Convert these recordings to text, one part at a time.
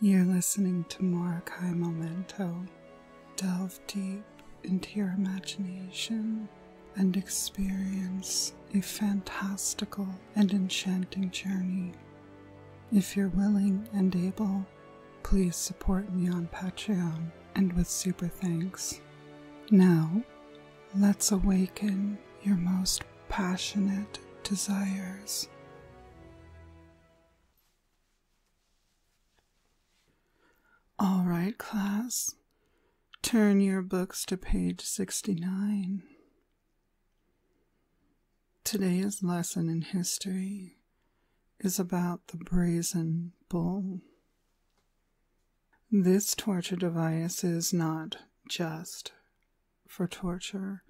You're listening to Morokai Memento. Delve deep into your imagination and experience a fantastical and enchanting journey. If you're willing and able, please support me on Patreon and with super thanks. Now, let's awaken your most passionate desires. All right, class. Turn your books to page 69. Today's lesson in history is about the brazen bull. This torture device is not just for torture,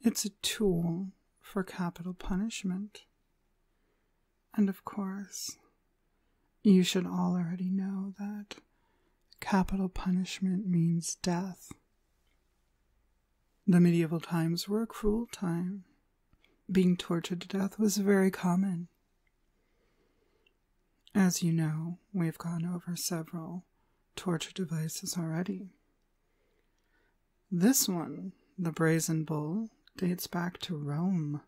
it's a tool for capital punishment. And of course, you should all already know that capital punishment means death. The medieval times were a cruel time. Being tortured to death was very common. As you know, we've gone over several torture devices already. This one, the brazen bull, dates back to Rome,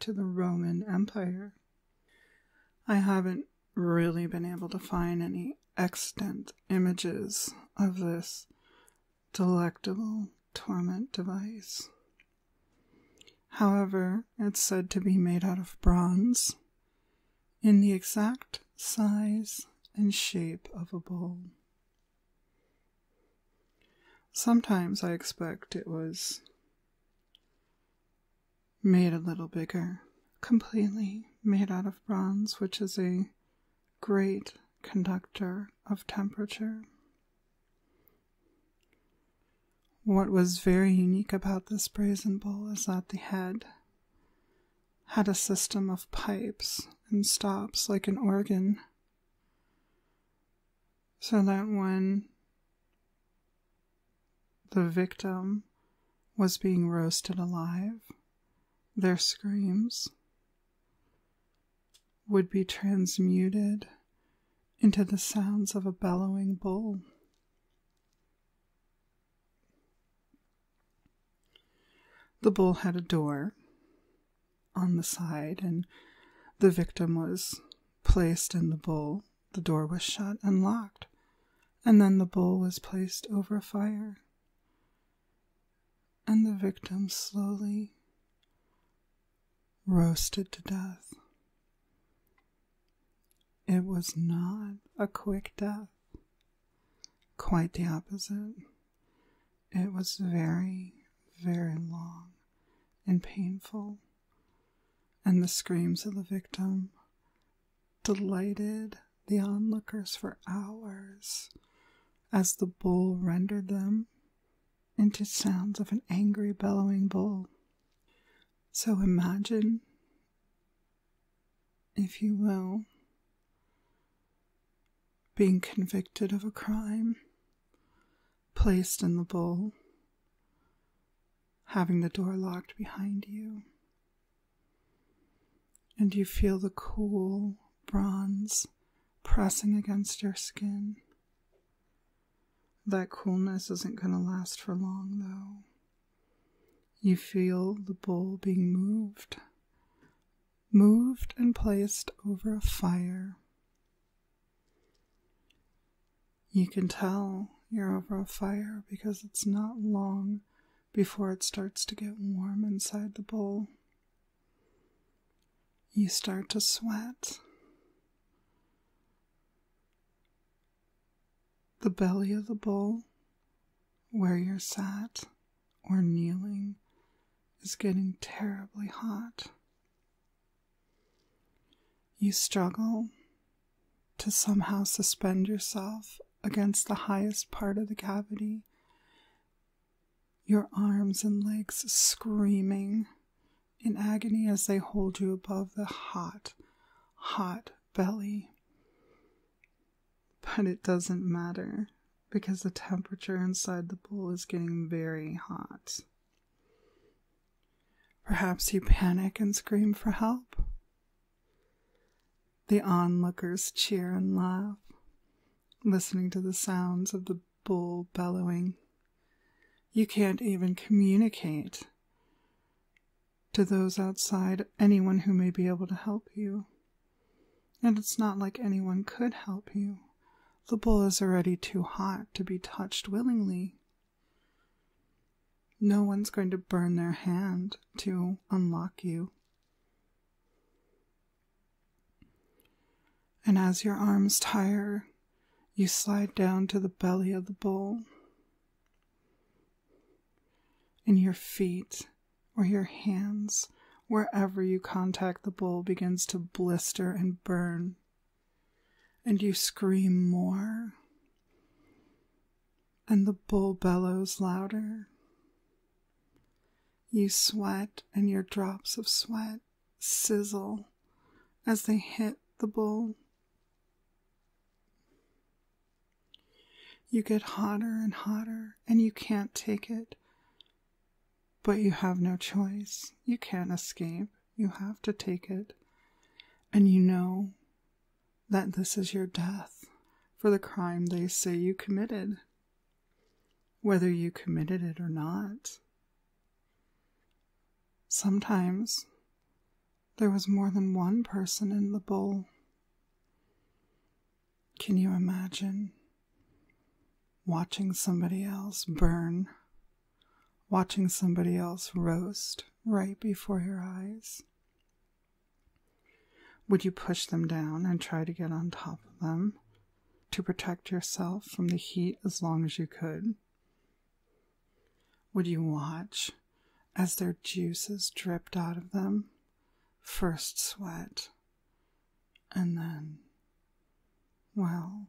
to the Roman Empire. I haven't really been able to find any extant images of this delectable torment device. However, it's said to be made out of bronze in the exact size and shape of a bowl. Sometimes I expect it was made a little bigger, completely made out of bronze, which is a great conductor of temperature. What was very unique about this brazen bowl is that the head had a system of pipes and stops like an organ. So that when the victim was being roasted alive, their screams would be transmuted into the sounds of a bellowing bull. The bowl had a door on the side, and the victim was placed in the bowl. The door was shut and locked, and then the bowl was placed over a fire. And the victim slowly roasted to death. It was not a quick death. Quite the opposite. It was very, very long and painful, and the screams of the victim delighted the onlookers for hours as the bull rendered them into sounds of an angry, bellowing bull. So imagine if you will, being convicted of a crime, placed in the bowl, having the door locked behind you, and you feel the cool bronze pressing against your skin. That coolness isn't going to last for long, though. You feel the bowl being moved, moved and placed over a fire. You can tell you're over a fire because it's not long before it starts to get warm inside the bowl. You start to sweat. The belly of the bull, where you're sat or kneeling, is getting terribly hot. You struggle to somehow suspend yourself against the highest part of the cavity, your arms and legs screaming in agony as they hold you above the hot, hot belly. But it doesn't matter because the temperature inside the bowl is getting very hot. Perhaps you panic and scream for help. The onlookers cheer and laugh, listening to the sounds of the bull bellowing. You can't even communicate to those outside, anyone who may be able to help you. And it's not like anyone could help you. The bull is already too hot to be touched willingly. No one's going to burn their hand to unlock you. And as your arms tire, you slide down to the belly of the bull in your feet or your hands. Wherever you contact the bull, begins to blister and burn, and you scream more, and the bull bellows louder. You sweat, and your drops of sweat sizzle as they hit the bull. You get hotter and hotter, and you can't take it. But you have no choice. You can't escape. You have to take it. And you know that this is your death for the crime they say you committed, whether you committed it or not. Sometimes there was more than one person in the bowl. Can you imagine watching somebody else burn, watching somebody else roast right before your eyes? Would you push them down and try to get on top of them to protect yourself from the heat as long as you could? Would you watch as their juices dripped out of them? First sweat, and then. Well,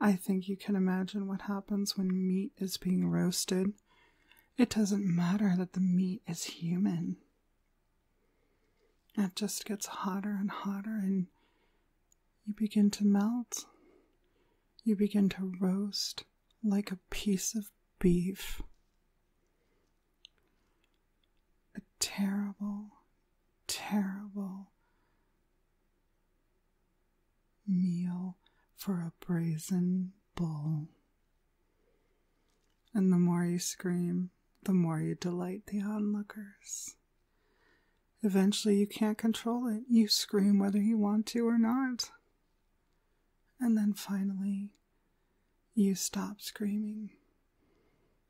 I think you can imagine what happens when meat is being roasted. It doesn't matter that the meat is human. It just gets hotter and hotter, and you begin to melt. You begin to roast like a piece of beef. A terrible, terrible meal for a brazen bull. And the more you scream, the more you delight the onlookers. Eventually, you can't control it. You scream whether you want to or not. And then finally, you stop screaming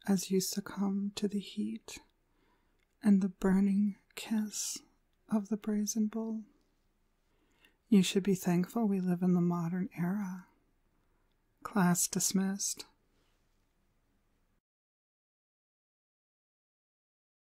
as you succumb to the heat and the burning kiss of the brazen bull. You should be thankful we live in the modern era. Class dismissed.